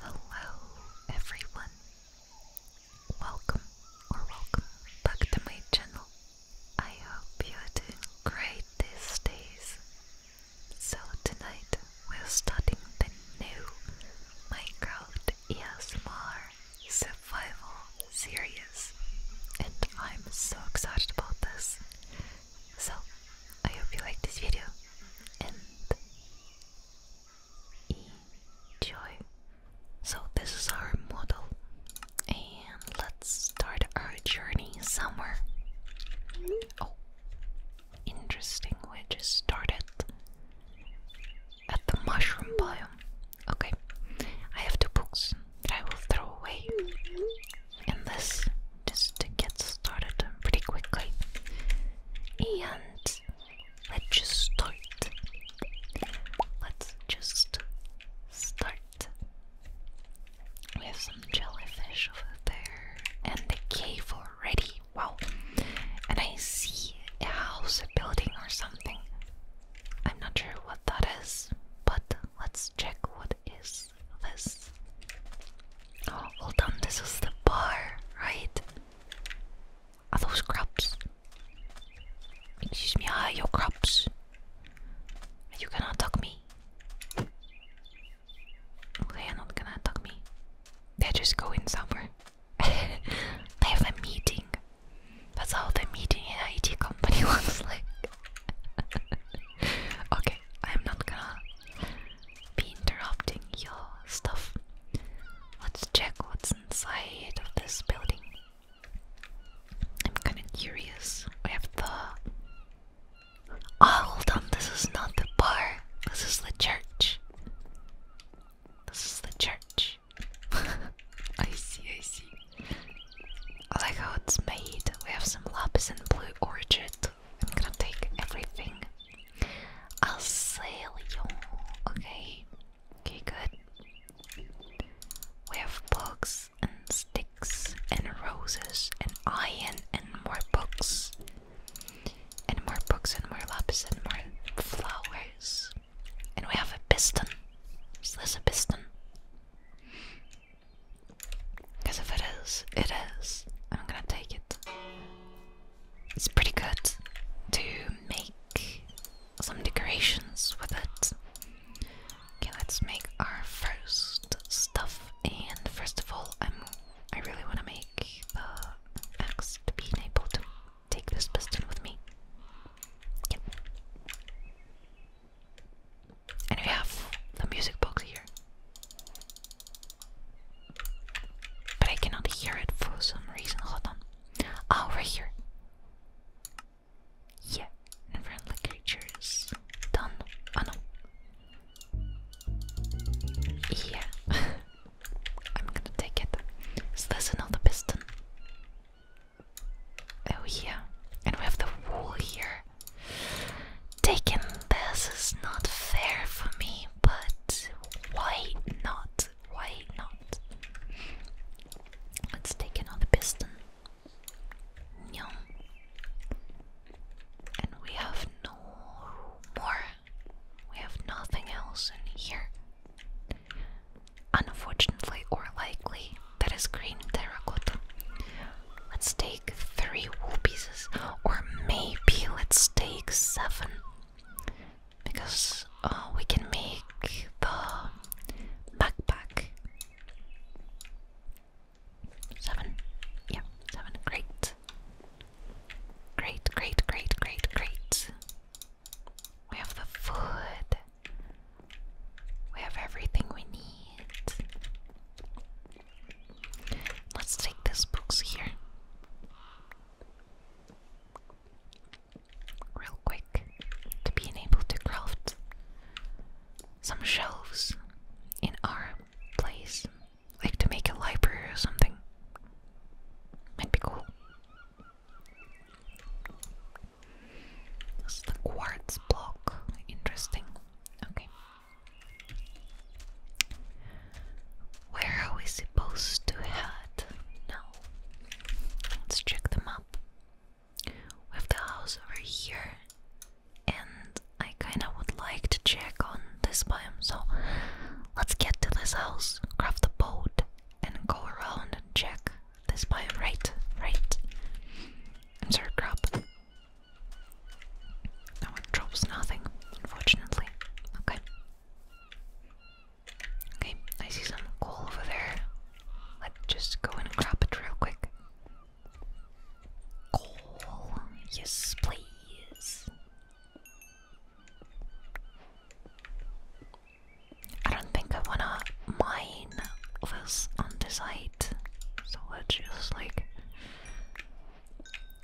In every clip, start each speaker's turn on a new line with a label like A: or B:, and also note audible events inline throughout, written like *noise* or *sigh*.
A: Hello, everyone. Welcome or welcome back to my channel. I hope you are doing great these days. So, tonight we're starting the new Minecraft ESMR Survival series, and I'm so excited about this so, I hope you like this video and enjoy. So, this is our model, and let's start our journey somewhere. Oh, interesting, we just started at the mushroom biome. Okay, I have two books that I will throw away in this just to get started pretty quickly. And let's just start. Let's just start. We have some jellyfish over there and a cave already. Wow. And I see a house, a building, or something. I'm not sure what that is, but let's check what is this? This? Oh, well done. This is the bar, right? Are those crabs? Excuse me, are your crabs? Are you gonna attack me? They are not gonna attack me. They're just going somewhere. *laughs* they have a meeting. That's how the meeting in IT company looks *laughs* like. *laughs* okay. I'm not gonna be interrupting your stuff. Let's check what's inside of this building. I'm kinda curious. We have the. Oh, hold on, this is not the bar. This is the church. This is the church. *laughs* I see, I see. I like how it's made. We have some lapis and blue orchid I'm gonna take everything. I'll sell you. Okay. Okay, good. We have books and sticks and roses and iron and more books. And more books and more lapis and more flowers. And we have a piston. Is this a piston? Because if it is, it is. I'm gonna take it. It's pretty good to make some decorations with it. Okay, let's make our first stuff. And first of all, I'm I really want to make the uh, X to be able to take this piston with me. And we have the music box here. But I cannot hear it for some reason. Hold on. Oh, right here. Yeah, friendly creatures. Done. Oh no. Yeah. *laughs* I'm gonna take it. Is this another piston? Oh yeah. And we have the wall here. Taking this is not fair for me, but why not? Why not? Let's take another piston. Yum. And we have no more. We have nothing else in here. Unfortunately, or likely, that is green terracotta. Let's take three wool pieces, or maybe let's take seven, because uh, we can make the backpack. Seven, yeah, seven. Great, great, great, great, great, great. We have the food. We have everything we need. Let's take these books here. Real quick, to being able to craft some shelves in our place, like to make a library or something. Might be cool. This is the quartz block. Interesting. Okay, where are we supposed to head now? Let's check the map. We have the house over here, and I kind of would like to check on this biome, so let's get to this house, craft the boat, and go around and check this biome. Right, right. I'm sorry, crap. No, it drops nothing, unfortunately. Okay. Okay, I see some coal over there. Let's just go and grab it real quick. Coal, yes, please. I don't think I wanna mine this on the side, so let's just like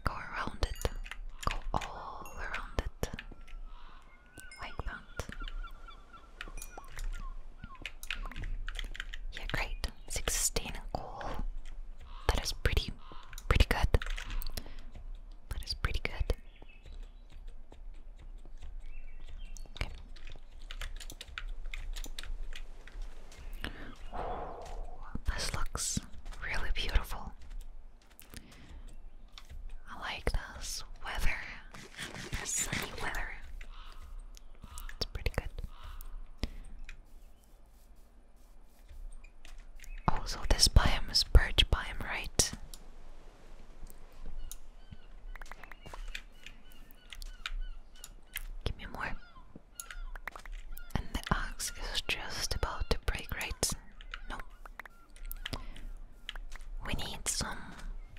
A: Go around it. Go all around it. Like that. Yeah, great. 16 goal. That is pretty, pretty good. That is pretty good. Okay this looks really beautiful. I like this weather, sunny weather. It's pretty good. Oh, so this biome is birch biome, right? Give me more. And the axe is just about to break, right? No. We need some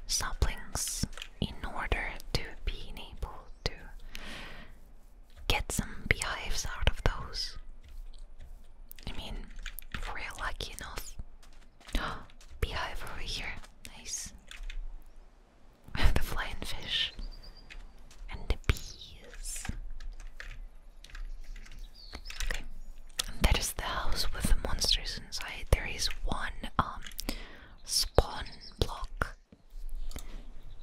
A: saplings in order to be able to get some beehives out of those. I mean, if we lucky enough. *gasps* Beehive over here. Nice. *laughs* the flying fish and the bees. Okay, that is the house with the monsters inside. There is one um spawn block,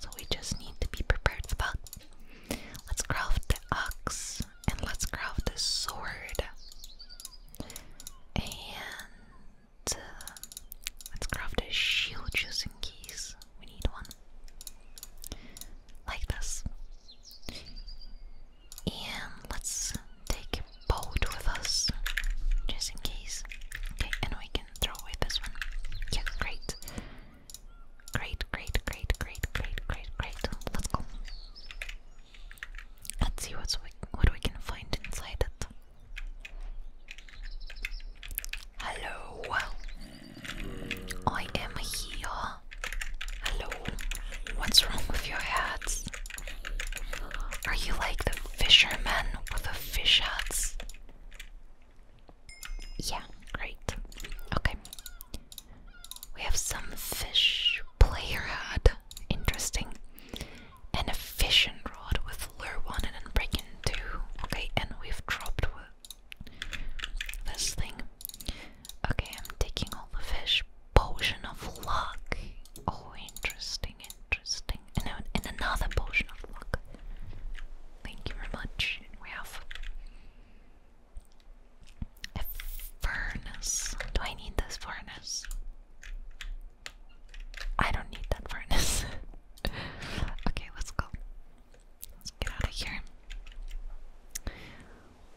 A: so we just need to be prepared for that. Let's craft the axe and let's craft the sword. And uh, let's craft the shield just in case we need one like this. And let's take a boat with us, just in case. Okay, and we can throw away this one. Yeah, great. Great, great, great, great, great, great, Let's go. Let's see what's we, what we can find inside it. Hello. I am here. Hello. What's wrong with your hats? Are you like the fisherman with the fish hats? Yeah, great. Okay. We have some fish player hat. Interesting. And a fishing rod with lure one and then break two. Okay, and we've dropped this thing. Okay, I'm taking all the fish. Potion of luck. Oh, interesting, interesting. And, another potion of luck. Thank you very much. We have a furnace. Do I need this furnace? I don't need that furnace. *laughs* okay, let's go. Let's get out of here.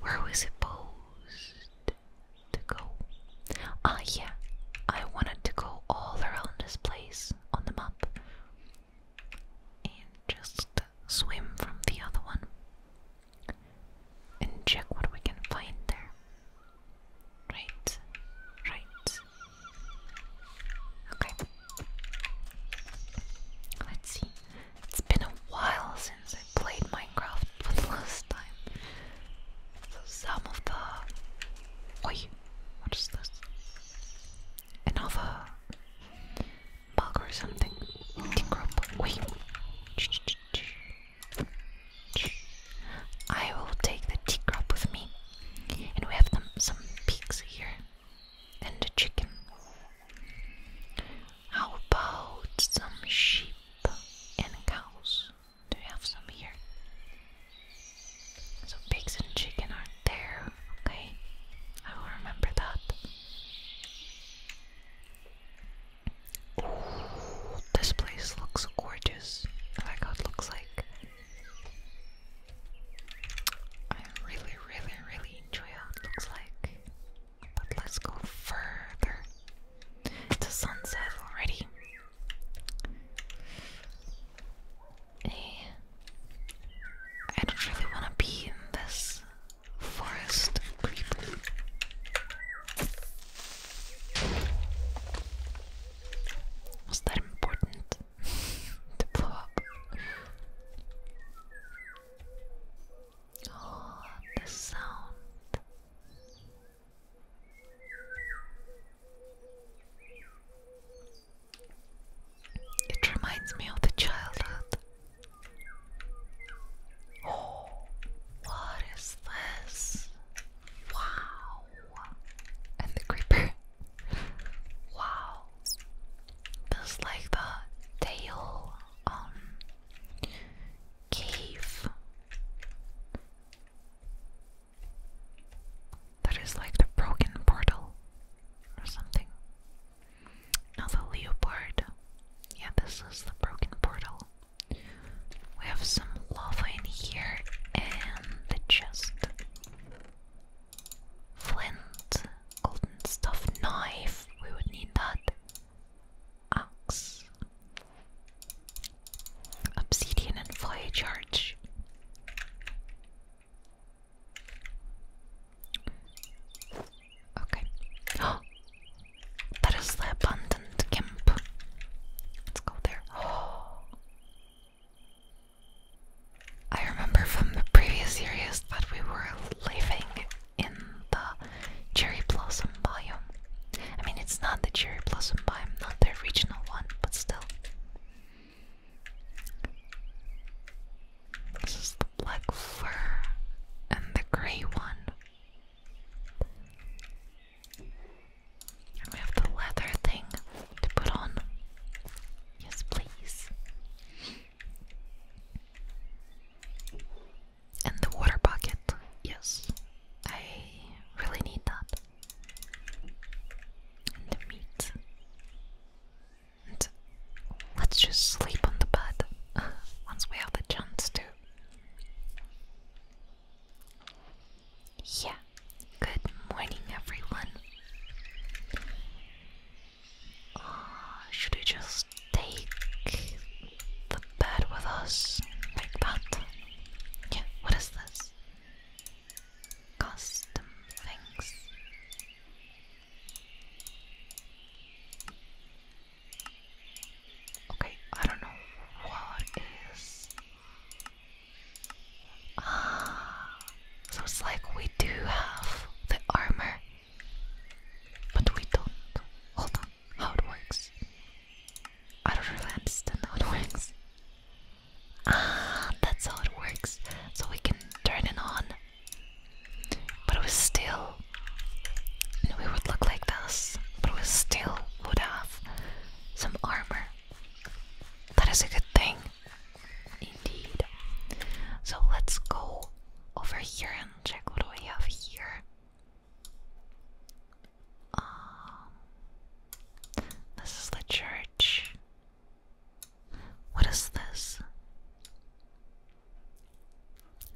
A: Where was it supposed to go? Ah, yeah. I wanted to go all around this place on the map and just swim from the other one and check what we can find there. Right, right. Okay. Let's see. It's been a while since I played Minecraft for the last time. So some of the... Oi! What is this? Another bug or something. Wait. I will take the tea crop with me. And we have them, some peaks here and the chicken. How about some sheep and cows? Do you have some here? So pigs and chicken are there, okay? I will remember that. this place looks gorgeous. I like looks like I really, really, really enjoy how it looks like. But let's go further. It's a sunset already. Eh. I don't really want to be in this forest creeper. Was that important? it *laughs* to Oh, the sound. It reminds me of the childhood. Oh, what is this? Wow! And the creeper. Wow, that's like the tail um cave. That is like the broken portal or something. Now the leopard. Yeah, this is the broken portal. We have some lava in here and the chest. Flint, golden stuff, knife. We would need that. Axe, obsidian, and fire charge. Okay. Oh, *gasps* that is the abundant gimp. Let's go there. *gasps* Oh. I remember from the previous series that we were living in the cherry blossom biome. I mean, it's not the cherry blossom biome, not the original one, but still. This is the black fur and the grey one. we have the leather thing to put on. Yes, please. And the water bucket. Yes, I really need that. And the meat. And let's just sleep on the bed *laughs* once we have the chance to. Yeah, Good morning, everyone. Ah, should we just take the bed with us? Like that? Yeah, what is this? Custom things. Okay, I don't know what is Ah, *sighs* so it's like we do have the armor, but we don't. Hold on, how it works? I don't really understand how it works. Ah, that's how it works. So we can turn it on, but it was still, we would look like this, but it was still would have some armor. That is a good thing. Indeed. So let's go over here and check what do we have here. Um, this is the church. What is this?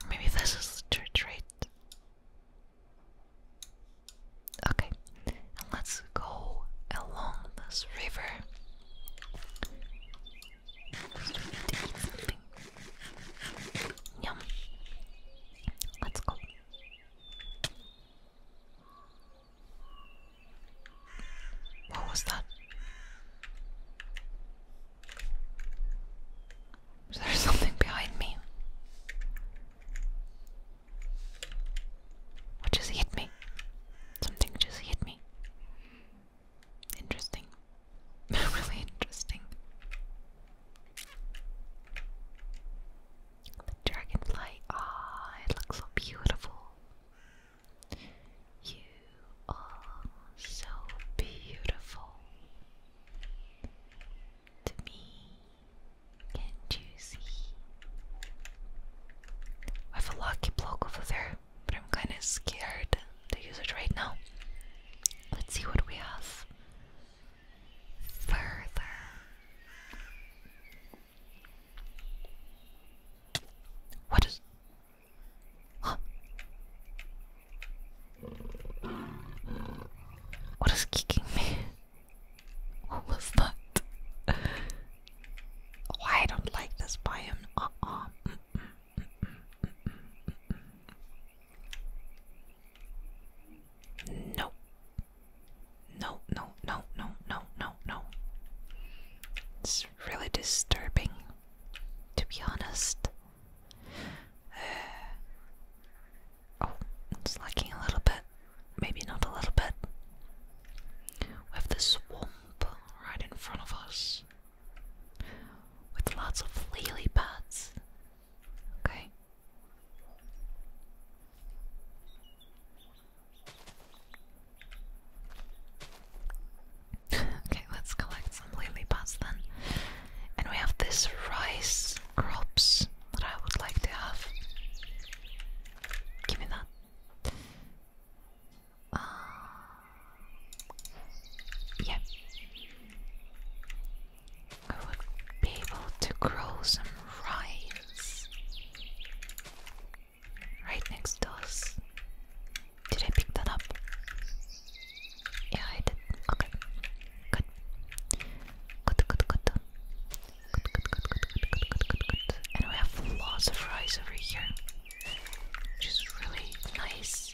A: Maybe this is the church, right? Okay, let's Let's go along this river. Yum. Let's go. What was that? Is there something behind me? What just hit me? Something just hit me. Interesting. *laughs* really interesting. The dragonfly. Ah, it looks so beautiful. You are so beautiful. To me, can't I have a lucky block over there, but I'm kinda scared to use it right now. Let's see what we have further. What is. What is kicking me? *laughs* What was that? Oh, I don't like this biome. Uh uh. Mm -mm, No. No, no, no, no, no, no, It's really disturbing, to be honest. Uh, oh, it's lacking a little bit. Maybe not a little bit. We have right in front of us with lots of lily pads. Okay. okay, let's collect some lily pads then. And we have this rice crops that I would like to have. Give me that. Uh, yeah. I would be able to grow some rice right next to us. Did I pick that up? Yeah, I did. Okay. Good. Good, good, good. And we have lots of fries over here, which is really nice.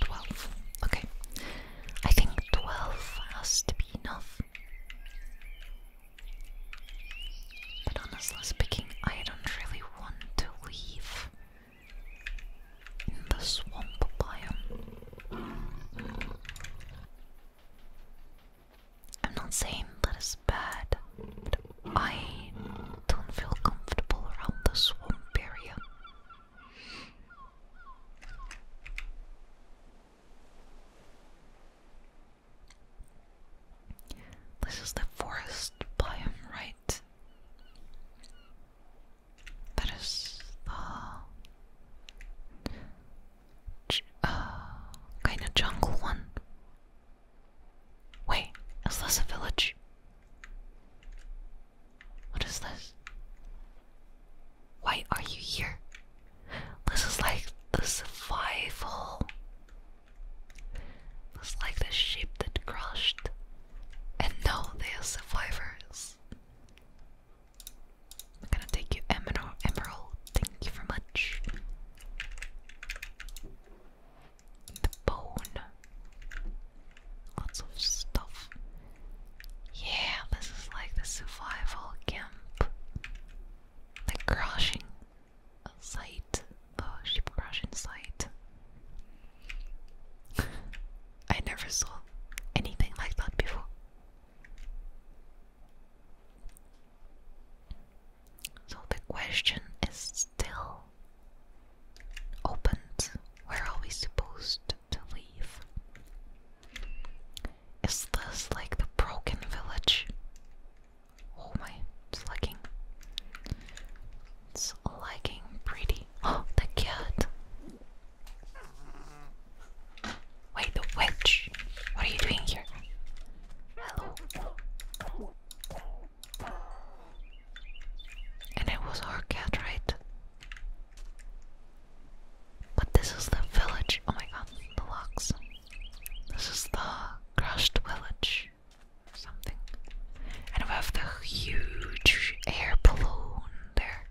A: Twelve. Okay. I think twelve has to be enough. But honestly speaking, I don't really want to leave in the swamp biome. I'm not saying that is bad, I don't feel comfortable around the swamp area. This is the forest biome, right? that is the kind of jungle one. Wait, is this a village? What is this? Why are you here? This is like the survival. This is like the ship that crashed. And no, they are survivors. I'm gonna take you emerald emerald, thank you very much. The bone. Lots of stuff. Yeah, this is like the survival camp. The crashing site. The ship crashing site. *laughs* I never saw anything like that before. So the question is still opened. Where are we supposed to leave? Is this like the broken village? Oh my, it's lagging. It's lagging pretty Oh, *gasps* the cat. Wait, the witch. What are you doing here? Hello. And it was our cat, right? But this is the village. Oh my god, the locks. This is the crushed village something. And we have the huge air balloon there.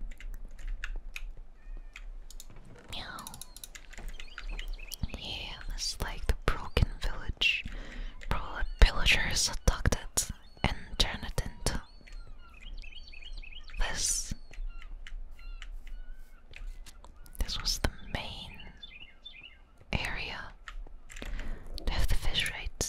A: Yeah, that's like the broken village. Probably villagers attacked it and turned it into this. This was the main area. have the fish right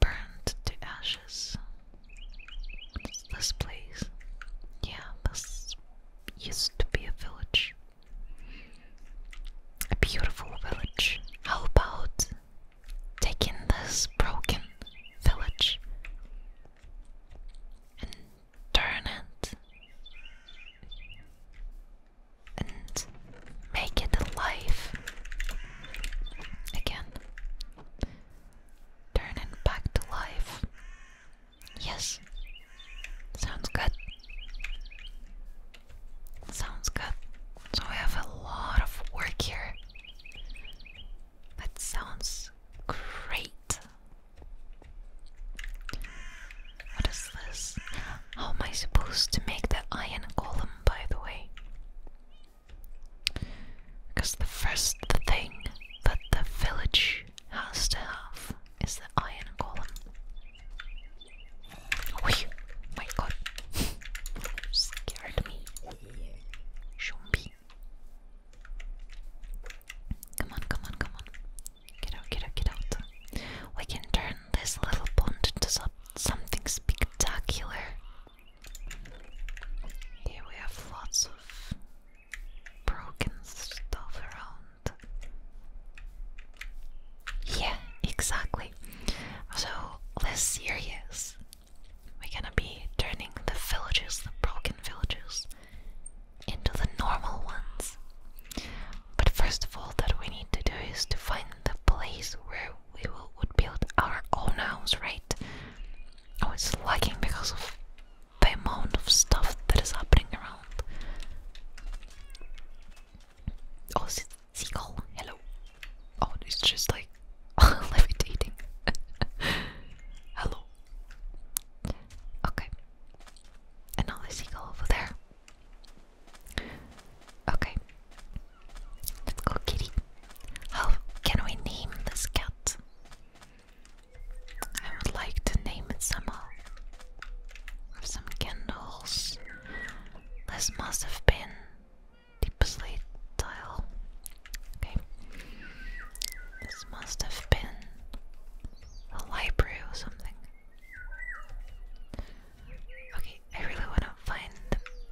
A: burned to ashes. This place, yeah, this used to be a village, a beautiful village. How about taking this broken village and turn it and make it alive again? Turning back to life. Yes. Sounds good. Sounds good. So we have a lot of work here. That sounds great. What is this? How am I supposed to make the iron column? by the way? Because the first thing that the village has to have is the iron column. Oh my god. *laughs* Scared me. Shumbi. Come on, come on, come on. Get out, get out, get out. We can turn this little pond into something spectacular. Here we have lots of broken stuff around. Yeah, exactly. So this year, yes, we're gonna be turning the villages, the broken villages, into the normal ones. But first of all, that we need to do is to find the place where we will, build our own house, right? I was lagging because of the amount of stuff that is happening around. Oh, seagull? Hello. Oh, it's just like *laughs* levitating. *laughs* Hello. Okay. Another seagull over there. Okay. Let's go, kitty. How can we name this cat? I would like to name it somehow. some candles. This must have been deep sleep tile. Okay. This must have been a library or something. Okay, I really wanna find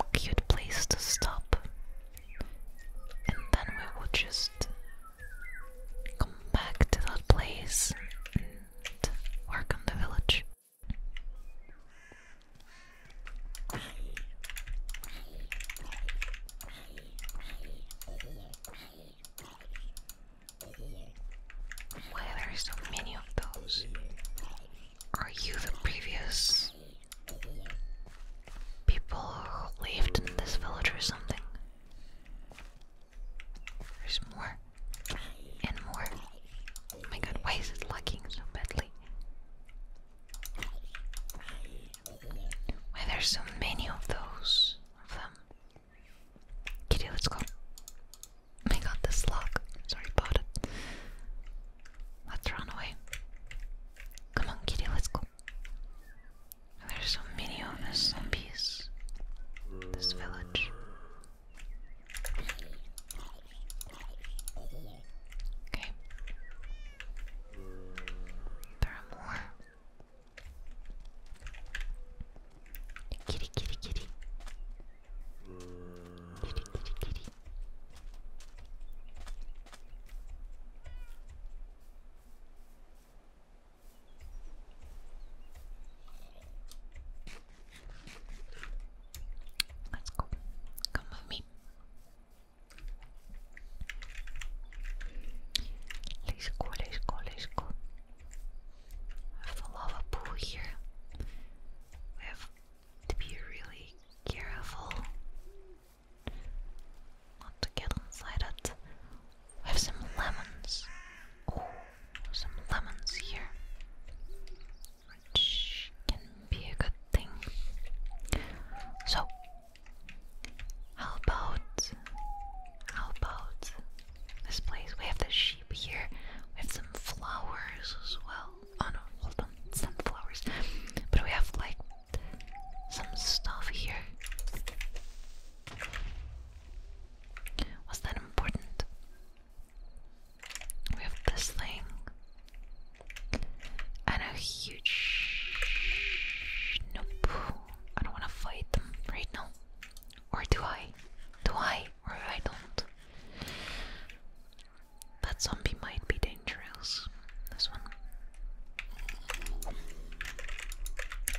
A: a cute place to stop. And then we will just come back to that place and work on the village. Why are there
B: so many of those? Are you the previous
A: people who lived in this village or something? There's more and more. Oh my god, why is it lagging so badly? Why there's so many of those of them? Kitty, let's go. Oh my god, this lock. Sorry about it. Let's run away. Come on, kitty, let's go. There's so many of us zombies. This village. Okay. There are more. Kitty, kitty, kitty. Kitty, kitty, kitty. Let's go. Come with me. Let's go, let's go, let's go. We have the lava pool here. We have to be really careful not to get inside it. We have some lemons. Oh, some lemons here, which can be a good thing. So, how about how about this place? We have the sheep here. We have some flowers as well. Oh no, hold on, sunflowers. But we have like some stuff here. Was that important? We have this thing. And a huge. Nope. I don't want to fight them right now. Or do I? Do I? Or I don't? That zombie might be dangerous. This one.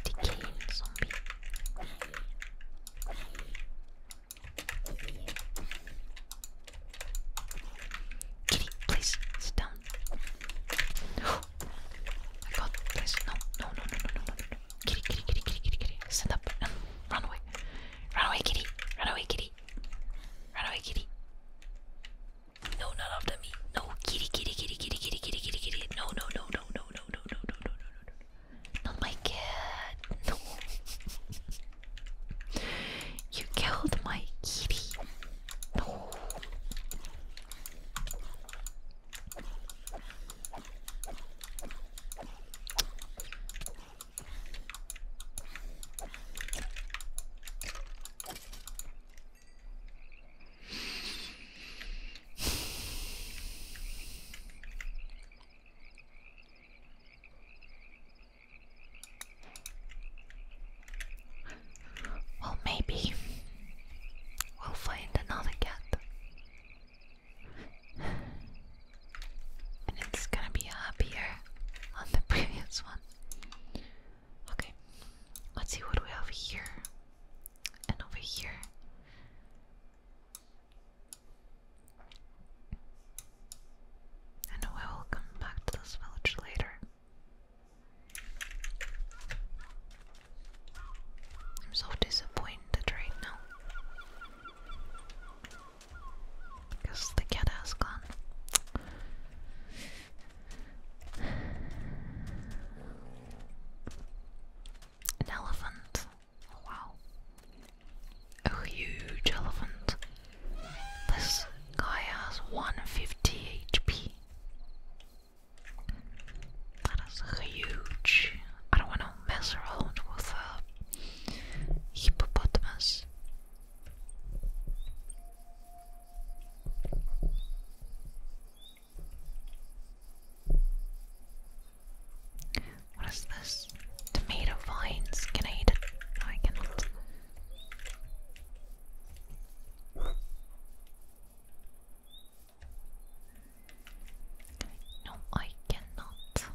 A: Decaying zombie. Kitty, please sit down. Oh my god, please, no, no, no, no, no, no, Kitty, kitty, kitty, kitty, kitty, kitty. Stand up and run away. Run away, kitty. Run away, kitty. Run away, kitty. No, not after me. No, kitty, kitty, kitty, kitty, kitty, kitty, kitty, kitty. No, no, no, no, no, no, no, no, no, no, no, no, no. Not my cat. No. you killed my kitty. Well, maybe we'll find another cat. And it's gonna be happier on the *laughs* previous one. Okay, let's see what we have here and over here. And we will come back to this village later. I'm so disappointed right now. Because the cat has gone. An elephant. wow. A huge elephant. This guy has 150 HP. That is huge. I don't want to mess around with a hippopotamus. What is this? Tomato vines. Can I eat it? No, I cannot. No, I cannot.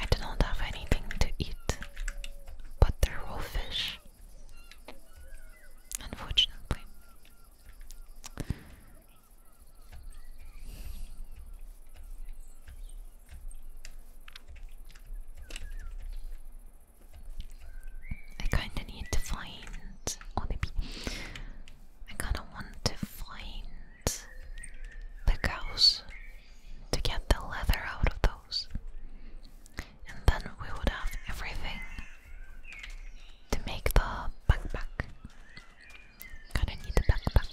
A: I do not have anything to eat but the are fish, unfortunately. I kinda need to find, or oh, maybe I kinda want to find the cows to get the leather out of those. And then we would have everything to make the backpack. Gotta need a backpack.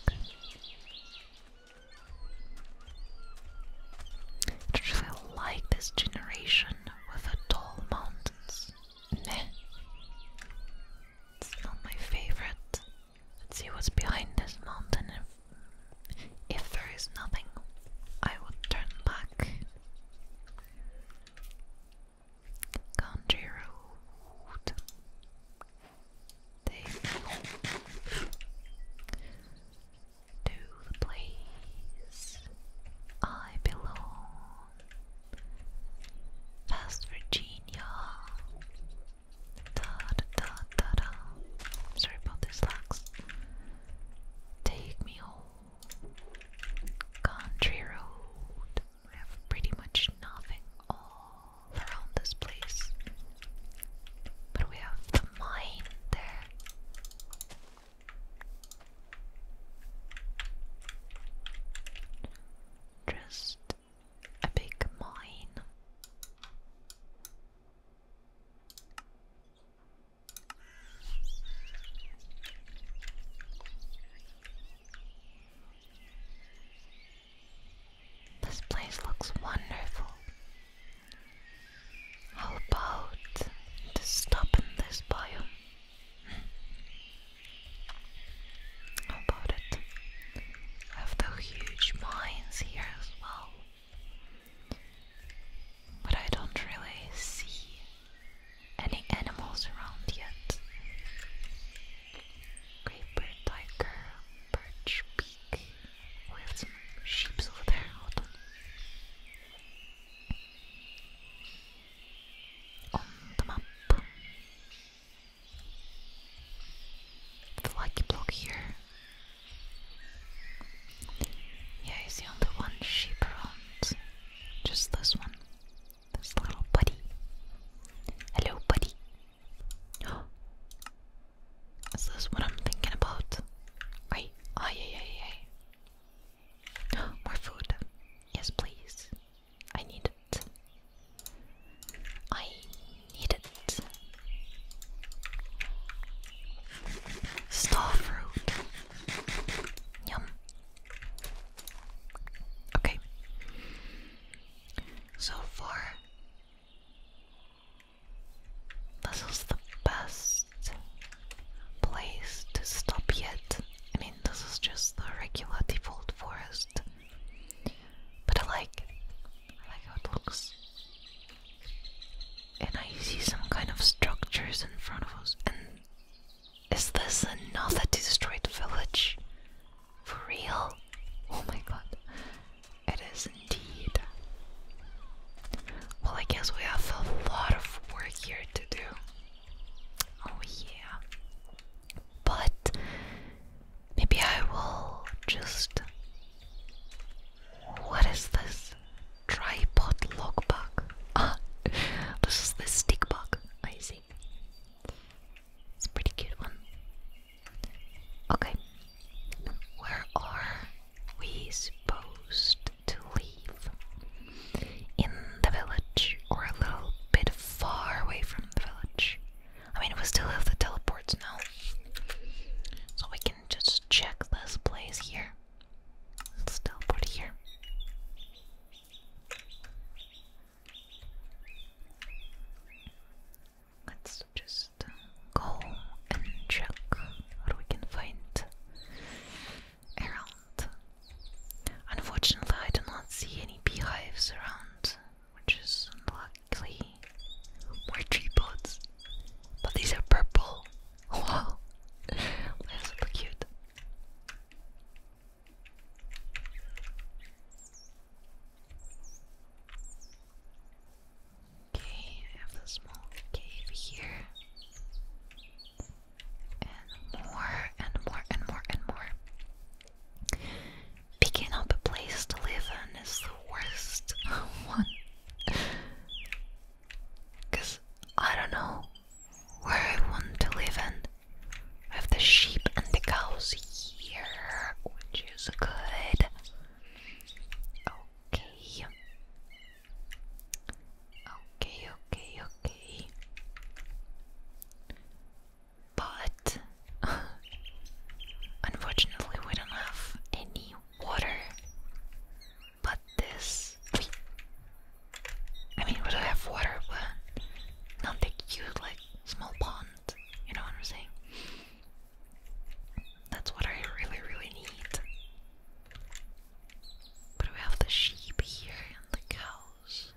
A: I really like this generation with the tall mountains. Meh. It's not my favorite. Let's see what's behind this mountain. If, there is nothing, I will turn back. Country road. They to the place I belong. Past Virginia. Da Sorry about these lags. Take me home. Country road. We have pretty much nothing all around this place. But we have the mine there. Just a big mine. This place looks wonderful. How about to stop in this biome? about it? I have the huge mines here as well. But I don't really see any animals around yet. Creeper, tiger, birch, peak. we have some sheep over there. Hold on. on the map the lucky block here. Yeah, he's the only one sheep around. Just this one. This little buddy. Hello, buddy. *gasps* Is this what I'm thinking about? Wait, ay, ay, ay, ay. More food. Yes, please. I need it. I need it. Star fruit. Yum. Okay. So far, this is the best place to stop yet. I mean, this is just the regular default forest. But I like I like how it looks. And I see some kind of structures in front of us. And is this another destroyed village? For real? Oh my god. It is indeed. Well, I guess we have a lot of work here to do. Oh, yeah. But Maybe I will just. What is this? Tripod log bug. *laughs* Ah, this is the stick bug. I see. It's a pretty cute one. Okay, where are we supposed to leave? In the village, or a little bit far away from the village? I mean, we still have the teleports now. So we can just check this place here. Let's teleport here. Let's just uh, go and check what we can find around. Unfortunately, I do not see any beehives around which is unlikely. More tree but these are purple. *laughs* Wow, they're cute. Okay, I have a small cave here. And more and more and more and more. Picking up a place to live in is the worst *laughs* one. Because I don't know where I want to live in. I have the sheep and the cows here, which is good. Okay. Okay, okay, okay but *laughs* unfortunately we don't have any water. But this, I mean, we do have water, but not the cute like small pond. You know what I'm saying? That's what I really, really need. But we have the sheep here and the cows.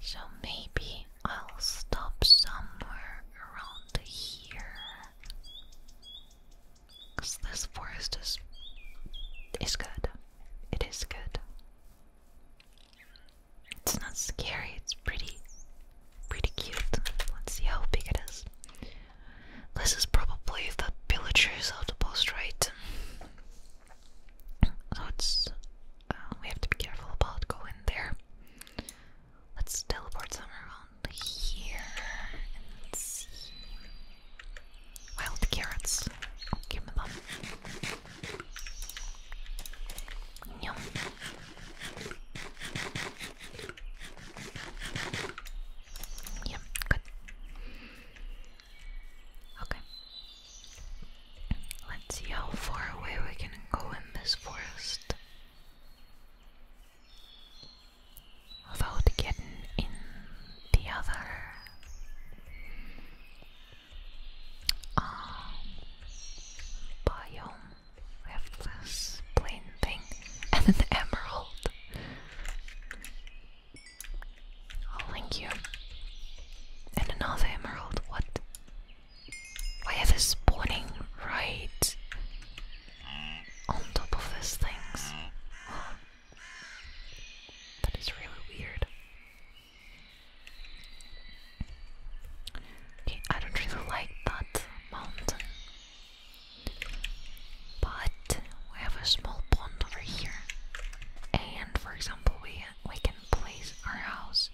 A: So maybe I'll stop somewhere around here. Cause this forest is is good. It is good. It's not scary, it's pretty pretty cute. Let's see how big it is. This is probably the villagers of the post, right? So it's um, we have to be careful about going there. Let's teleport somewhere around here Wild carrots. give me them. Yum. Yep, good. Okay. Let's see how far away we can go in this forest without getting in the other um, biome. We this plain thing *laughs* and an emerald. I'll oh, link you. And another emerald. What? Why are they spawning right on top of these things? that is really weird. Okay, I don't really like that mountain. But we have a small pond over here. And for example, we we can place our house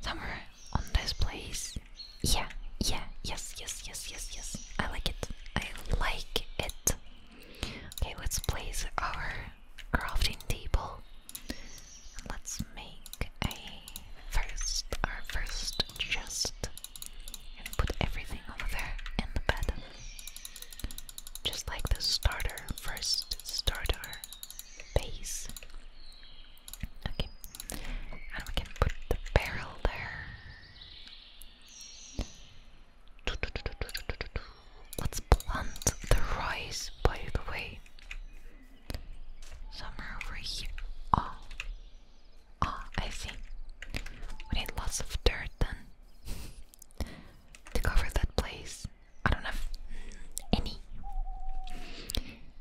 A: somewhere on this place. Yeah, yeah, yes, yes, yes, yes, yes. I like it. I like it. Okay, let's place our crafting table. Let's make a first our first chest and put everything over there in the bed. Just like the starter, first starter base. Okay, and we can put the barrel there. Let's plant the rice, by the way. Somewhere over here. Oh, oh I see. We need lots of dirt then *laughs* to cover that place. I don't have any,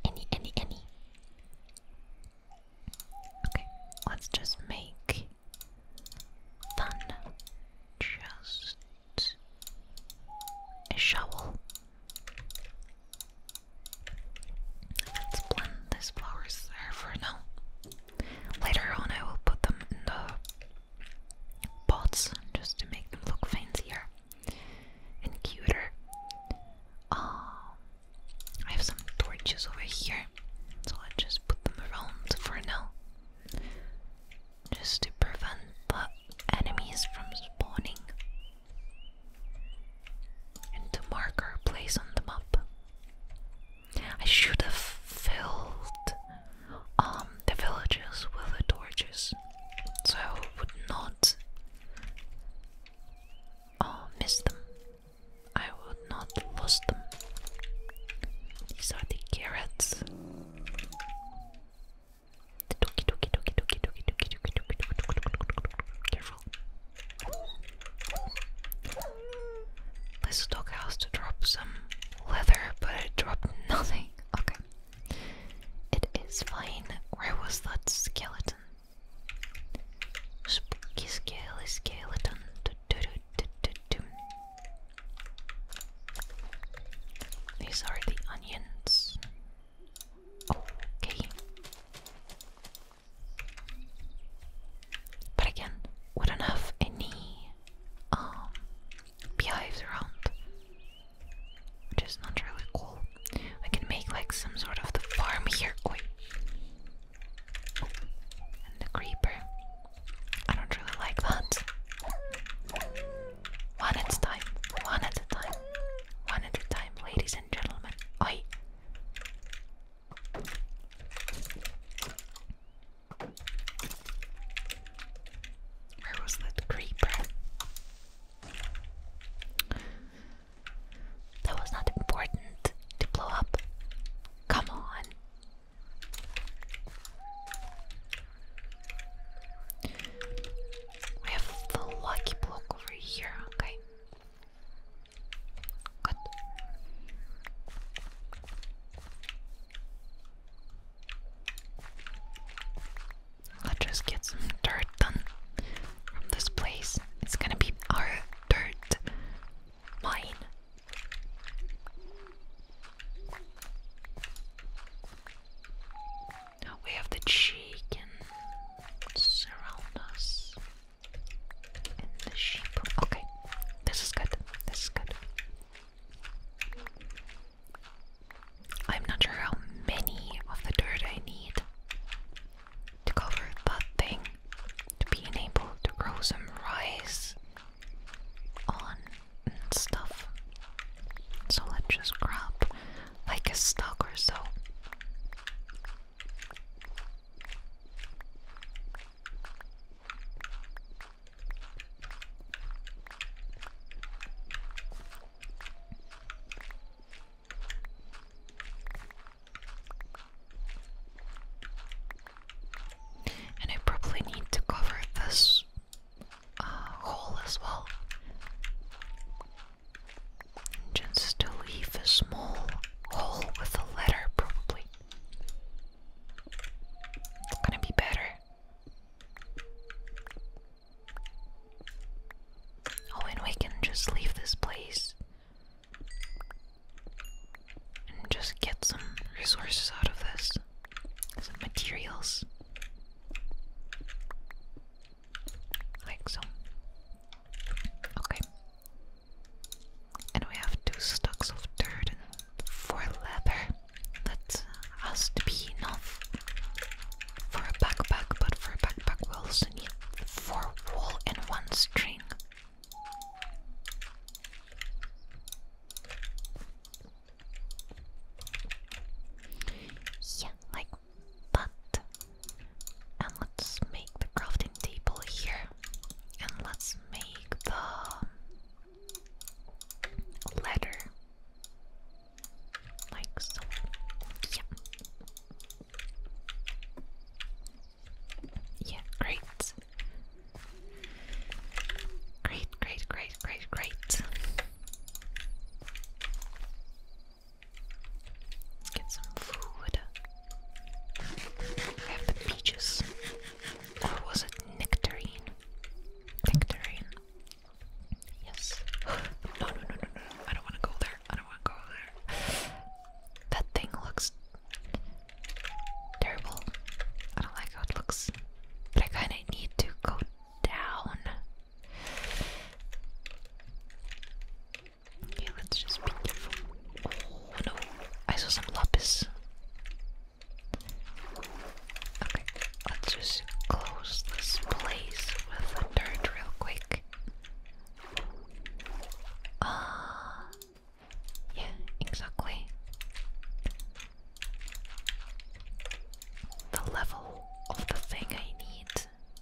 A: any, any, any. Okay, let's just make fun. Just a shovel. Let's plant these flowers there for now. Later on, I will put them in the pots just to make them look fancier and cuter. Um, I have some torches over here, so i just put them around for now. Just to prevent enemies from spawning. And to mark our place on the map. I should have filled um, the villagers with the torches, so I would not miss them. I would not lose them. These are the carrots. Careful. This doghouse to drop some leather, but it dropped nothing. Okay. It is fine. Where was that skeleton? Spooky scaly skeleton. These are the onions. Okay. But again, we don't have any um around which is not really cool. I can make like some sort of the farm here. Oi. Oh. and the creeper. I don't really like that. One at a time. One at a time. One at a time, ladies and gentlemen. Oi. Where was that creeper? That was not important to blow up. Come on. We have the lucky block over here, okay. Good. Let's just get some dirt done from this place. It's gonna be our dirt mine. we have the chicken surround us. And the sheep. Okay, this is good. This is good. I'm not sure how many of the dirt I need to cover that thing to be able to grow some rice on and stuff. So let's just grab like a stalk or so. And I probably need to cover this uh, hole as well. And leave a small hole with a letter, probably. It's gonna be better. Oh, and we can just leave this place and just get some resources out of this, some materials. Like so. Okay. And we have two stocks of dirt and four leather that has to be enough for a backpack, but for a backpack we also need four wool and one string. Yeah, like that. And let's make the crafting table here. And let's make the letter. Like so. Yeah. Yeah, great. Great, great, great, great, great. Get some food. I have the peaches. Or was it nectarine? Nectarine. Yes. no, no, no, no, no. I don't want to go there. I don't want to go there. That thing looks terrible. I don't like how it looks. But I kind of need to go down. Okay, let's just be careful. Oh no, I saw some lapis. Okay, let's just close this place with dirt real quick. Ah, yeah, exactly. The level of the thing I need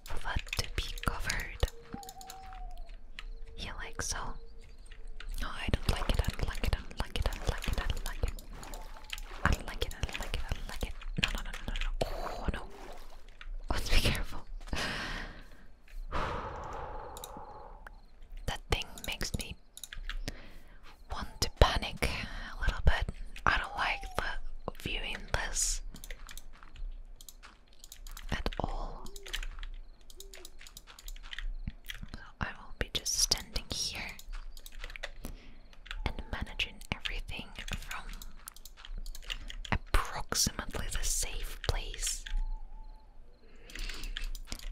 A: for that to be covered. Yeah, like so. No, I don't like it, I like it, I like it, I like it, I like it. I don't like it, I don't like it, I don't like it. No, no, no, no, no, no. Oh, no. Let's be careful. that thing makes me want to panic a little bit. I don't like the viewing this at all. So I will be just standing here and managing everything from approximately the safe place.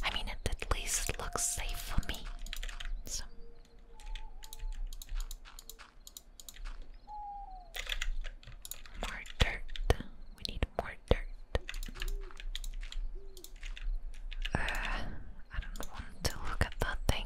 A: I mean, it at least looks safe for me. So. More dirt. We need more dirt. Uh, I don't want to look at that thing.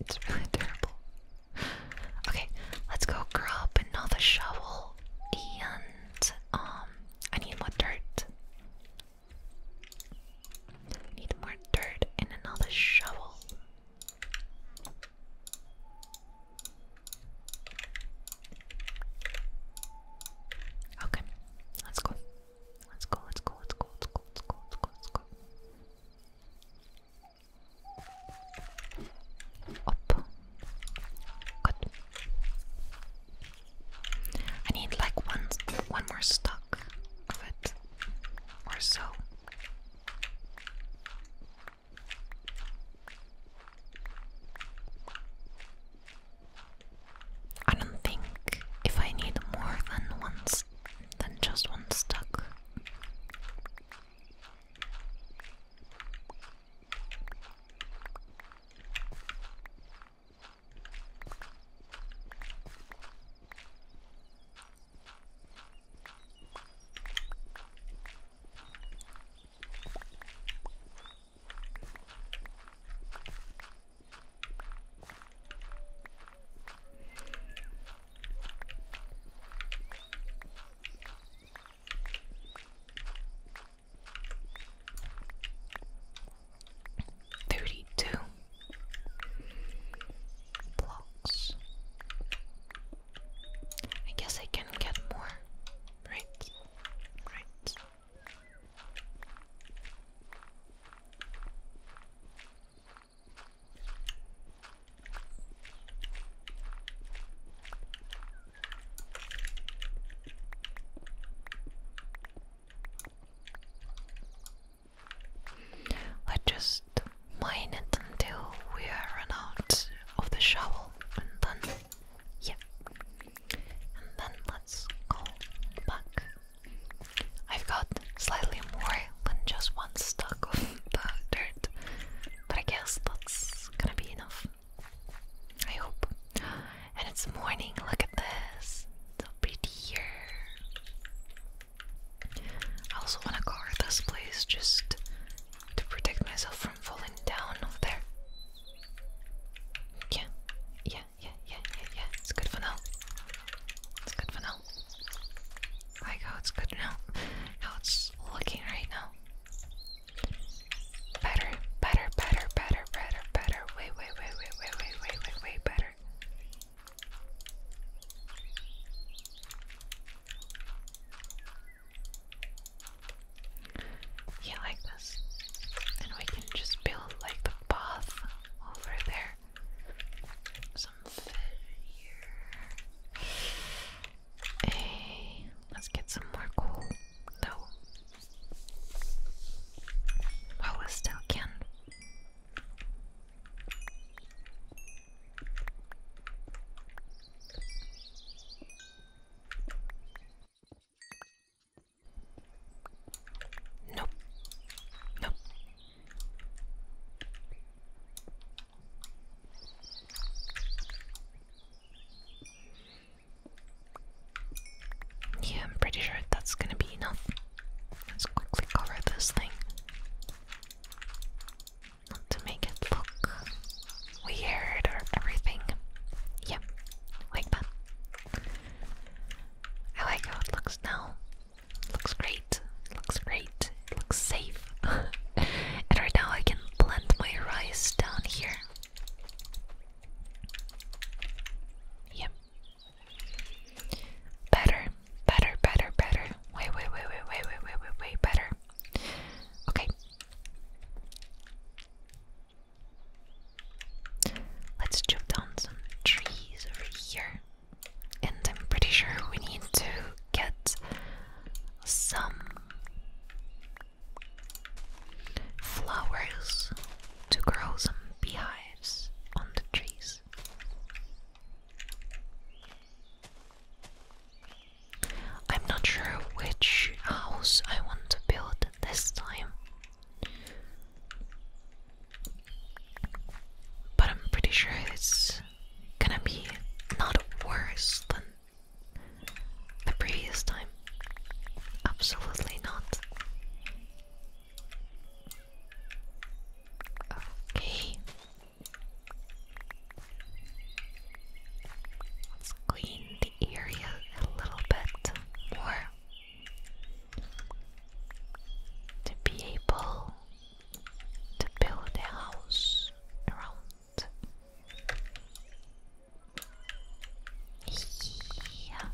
A: It's really terrible. Okay, let's go grab another shovel and um I need more dirt. need more dirt and another shovel. Okay, let's go. Let's go, let's go, let's go, let's go, let's go, let's go, let's go. Up. Good. I need like one one more stock of it or so. I don't think if I need more than one than just one stuck. Thirty-two blocks. I guess I can get more. Right, right. I just mine it until we are run out of the shovel and then yeah. And then let's go back I've got slightly more than just one stack of *laughs* the dirt, but I guess that's gonna be enough. I hope. And it's morning, look at this. So pretty here. I also want to guard this place just to protect myself from falling down over there. yeah, yeah, yeah, yeah, yeah. It's good for now. It's good for now. I go. it's good now. How it's looking right now. Better, better, better, better, better, better. Way, way, way, way, way, way, way, way, better. Yeah, like this. And we can just build like the path over there. Hey, let's get some more coal, though. While we still can. Nope. Nope. Yeah, I'm pretty sure that's gonna be enough. Let's quickly cover this thing. to make it look weird or everything. Yep, like that. I like how it looks now. Looks great. Looks great. It looks safe. *laughs* and right now I can plant my rice down here. Yep. Better, better, better, better. Way, way, way, way, way, way, way, way, way better. Okay. Let's chop down some trees over here and I'm pretty sure we need to get some flowers to grow some beehives on the trees. I'm not sure which house I want to build this time. But I'm pretty sure it's gonna be not worse than the previous time. Absolutely not. Okay. Let's clean the area a little bit more to be able to build a house around. Yeah,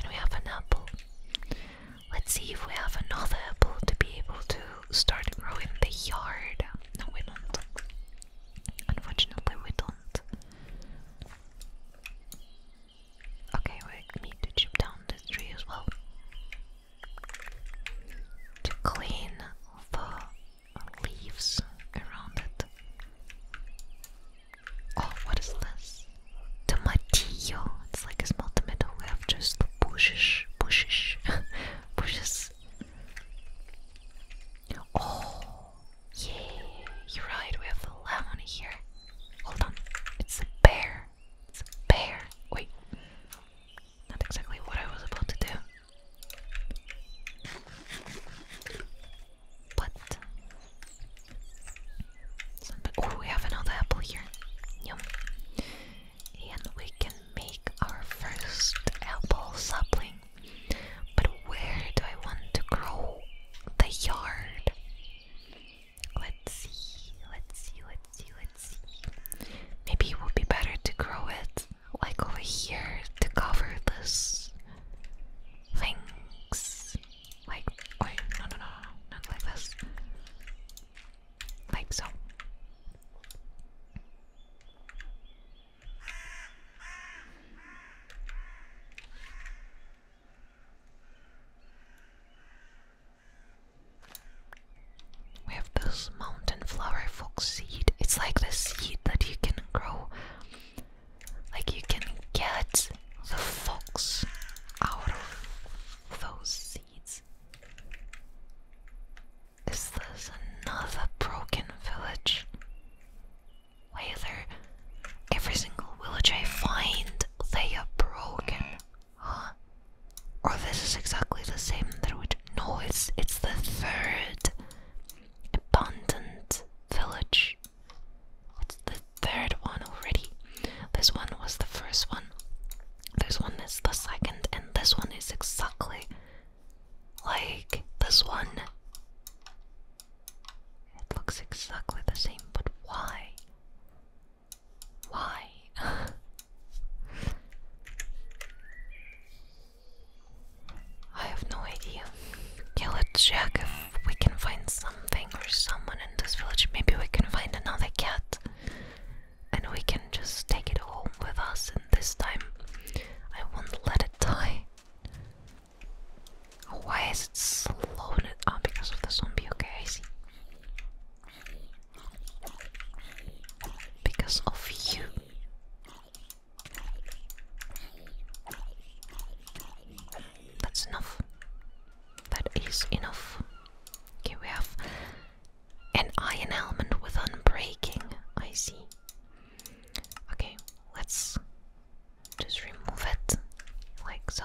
A: and we have an apple. Let's see if we have another apple to be able to start growing the yard. No, we don't. Unfortunately, we don't. Okay, we need to chip down this tree as well. To clean the leaves around it. Oh, what is this? Tomatillo. It's like a small tomato. We have just bushes, bushes, *laughs* bushes. Oh, yeah, you're right. We have a lemon here. Hold on, it's a pear. It's a bear. Wait. Not exactly what I was about to do. But. Oh, we have another apple here. Yum. And we can make our first apple sapling. But where do I want to grow the yard? Let's see, let's see, let's see, let's see. Maybe it would be better to grow it like over here to cover this things. Like, oh, no, no, no, not like this. Like so. We have this mountain flower fox seed. It's like the seed that you can grow. Like you can get the fox out of those seeds. Is this another broken village? Why, every single village I find they are broken. *gasps* Or oh, this is exactly the same that we. No, it's it's the third abundant village. It's the third one already. This one was the first one. This one is the second, and this one is exactly like this one. It looks exactly the same, but why? Why? *laughs* I have no idea. Yeah, let's check if we can find something or someone in this village. Maybe we can find another cat and we can just take it home with us. And this time, I won't let it die. Why is it slowing it ah, because of the zombie? Okay, I see. Because of you. That's enough. That is enough. Okay, we have an iron element with unbreaking. I see. Okay, let's just remove it like so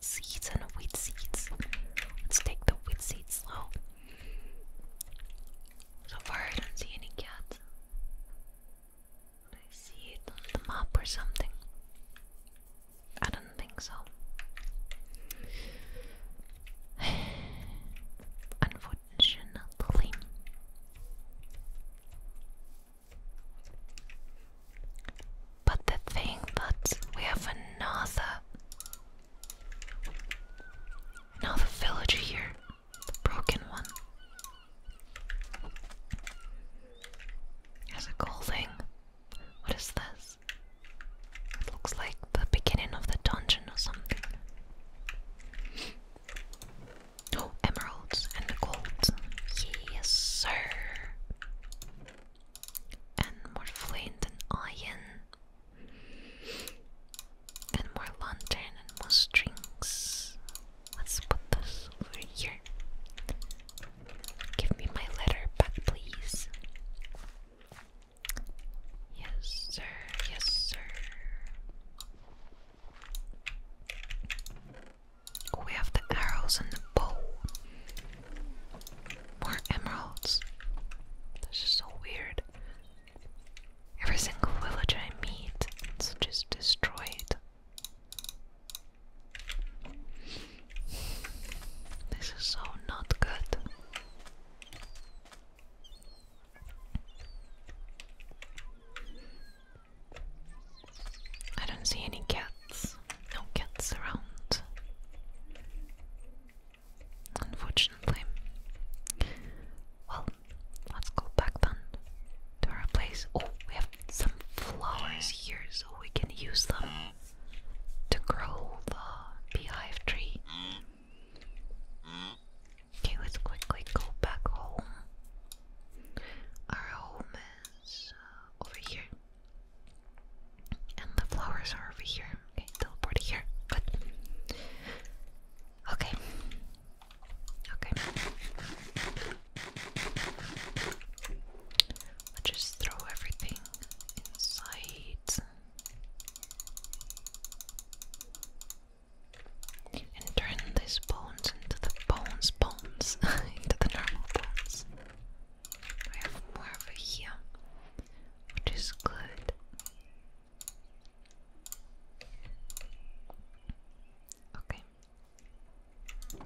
A: seeds and wheat seeds. Let's take the wheat seeds slow. So far, I don't see any cats. I see it on the map or something? I don't think so. *sighs* Unfortunately. But the thing but we have another another village here, the broken one. There's a cool thing. What is this? It looks like the beginning of the dungeon or something. *gasps* Oh, emeralds and gold. Yes, sir and more flint and iron, and more lantern and more strings. Let's put this over here. Give me my letter back, please. Yes, sir. Yes, sir. We have the arrows and the bow. More emeralds. This is so weird. Every single village I meet is just destroyed. This is so not good. I don't see any cats. No cats around. Unfortunately. Well, let's go back then to our place. Oh, we have some flowers here, so we can use them to grow the beehive tree. Okay, let's quickly go back home. Our home is uh, over here. And the flowers are over here. Okay, teleport here. Good. Okay. Okay. I'll just throw everything inside. And turn these bones into the bones, bones, *laughs* into the normal bones. We have more over here, which is good. Okay. We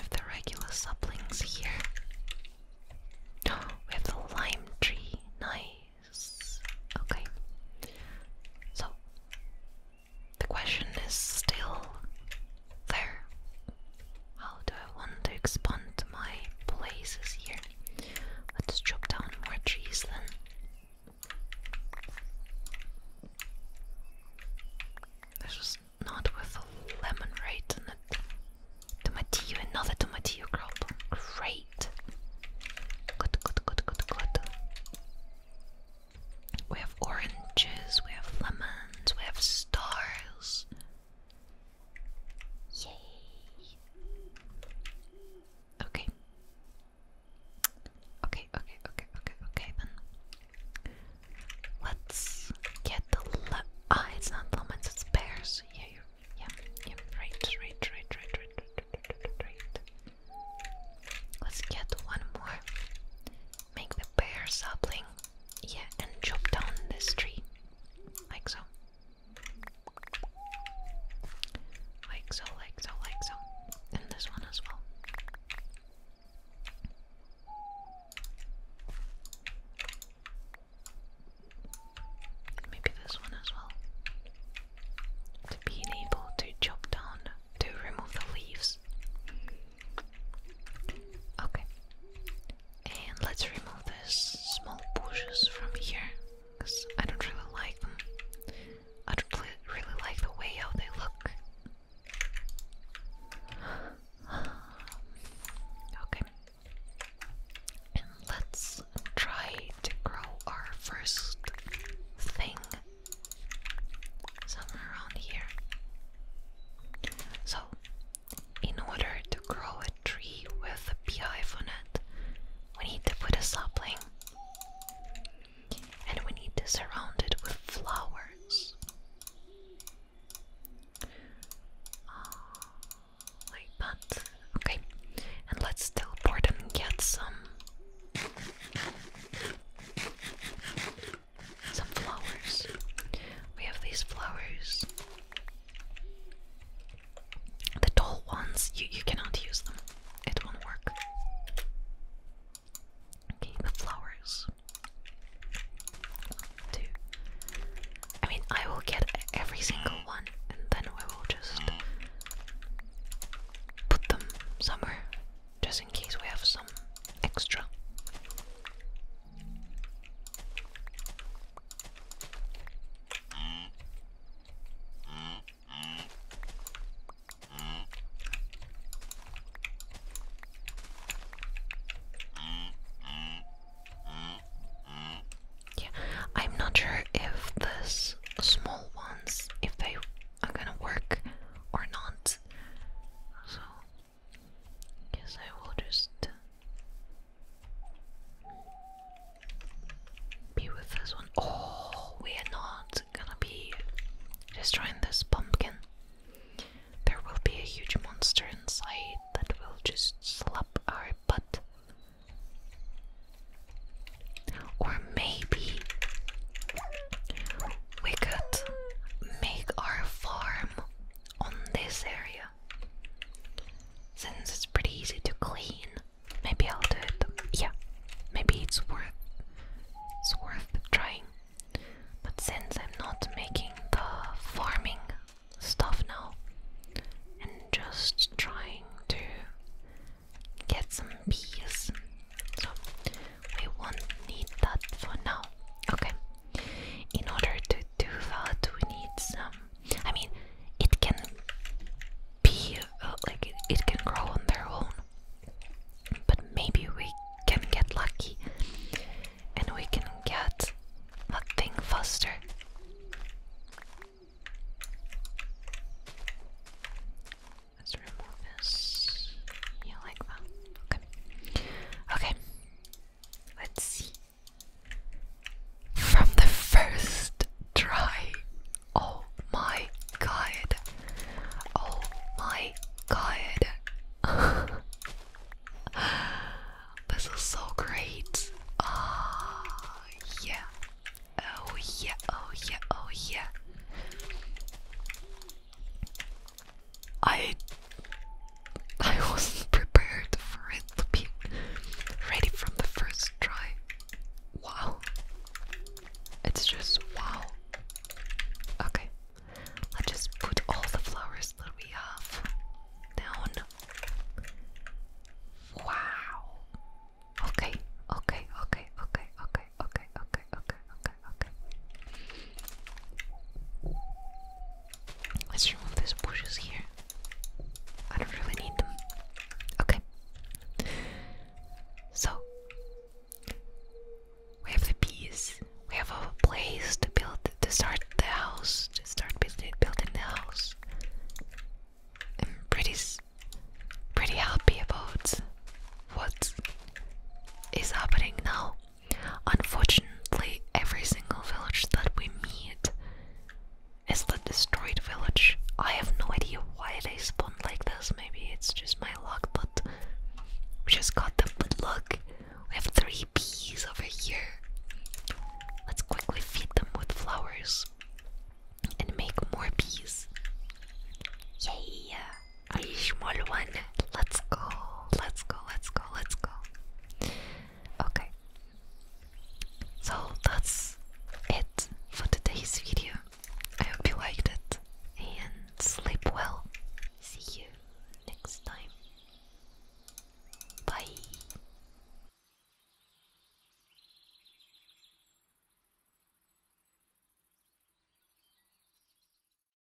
A: have the regular saplings here. *gasps* we have the lime tree. Nice. Okay. So, the question is still there. How do I want to expand my places here? Let's chop down more trees then. This was not with a lemon, right? And a tomatillo, another tomatillo crop. Great. Good, good, good, good, good. We have oranges, we have lemons, we have stars. Yay. Okay. Okay, okay, okay, okay, okay, then. Let's get the le- Ah, it's not lemons, it's pears. Yeah, you yeah, yeah, right, right, right, right, right, right, right, right. Let's get one more make the pear sapling, yeah, and chop down this tree, like so, like so, like so, like so, and this one as well. Maybe this one as well. To being able to chop down, to remove the leaves Okay. And let's remove these small bushes from here, because I don't really like them. I don't really like the way how they look. *sighs* Okay. And let's try to grow our first thing somewhere around here. So in order to grow a tree with a beehive on it, we need to put a sapling and we need to surround it with flowers. Ah, like that. Okay. And let's teleport and get some some flowers. We have these flowers. The tall ones, you, you cannot use them. It won't work. Okay, the flowers. two. I mean, I will get every single one and then I will just put them somewhere just in case we have some extra. Yeah, I'm not sure if this small ones if they are gonna work or not. So Guess I will just be with this one. Oh, we are not gonna be destroying this pumpkin. There will be a huge monster inside that will just slap our butt. Or maybe we could make our farm on this area. Since it's pretty easy to clean, maybe I'll do it. Yeah, maybe it's worth it's worth trying. But since I'm not making the farming stuff now, and just trying to get some bees, so we won't need that for now. Okay, in order to do that, we need some. I mean, it can be uh, like it, can grow on their own, but maybe we can get lucky and we can get a thing faster. Let's remove this. Yeah, like that. Okay. Okay. Let's see. From the first try. Oh my god. Oh my god. *laughs* this is so great. oh, yeah. Oh yeah, oh yeah, oh yeah. I I wasn't prepared for it to be ready from the first try. Wow. It's just wow. Okay. Let's just put all the flowers that we have down. Wow. Okay, okay, okay, okay, okay, okay, okay, okay, okay, Let's remove these bushes here. I don't really need them. Okay. So we have the bees. We have a place to build to start the house. To start building the house. I'm pretty pretty happy about what is happening now. Unfortunately, every single village that we meet is the destroyed village. I have no idea why they spawned like this. Maybe it's just my luck, but we just got them. But look, we have three bees over here. Let's quickly feed them with flowers and make more bees. Yeah a small one. Let's go, let's go, let's go, let's go. Okay, so that's it for today's video. I hope you liked it and sleep well. See you next time. Bye.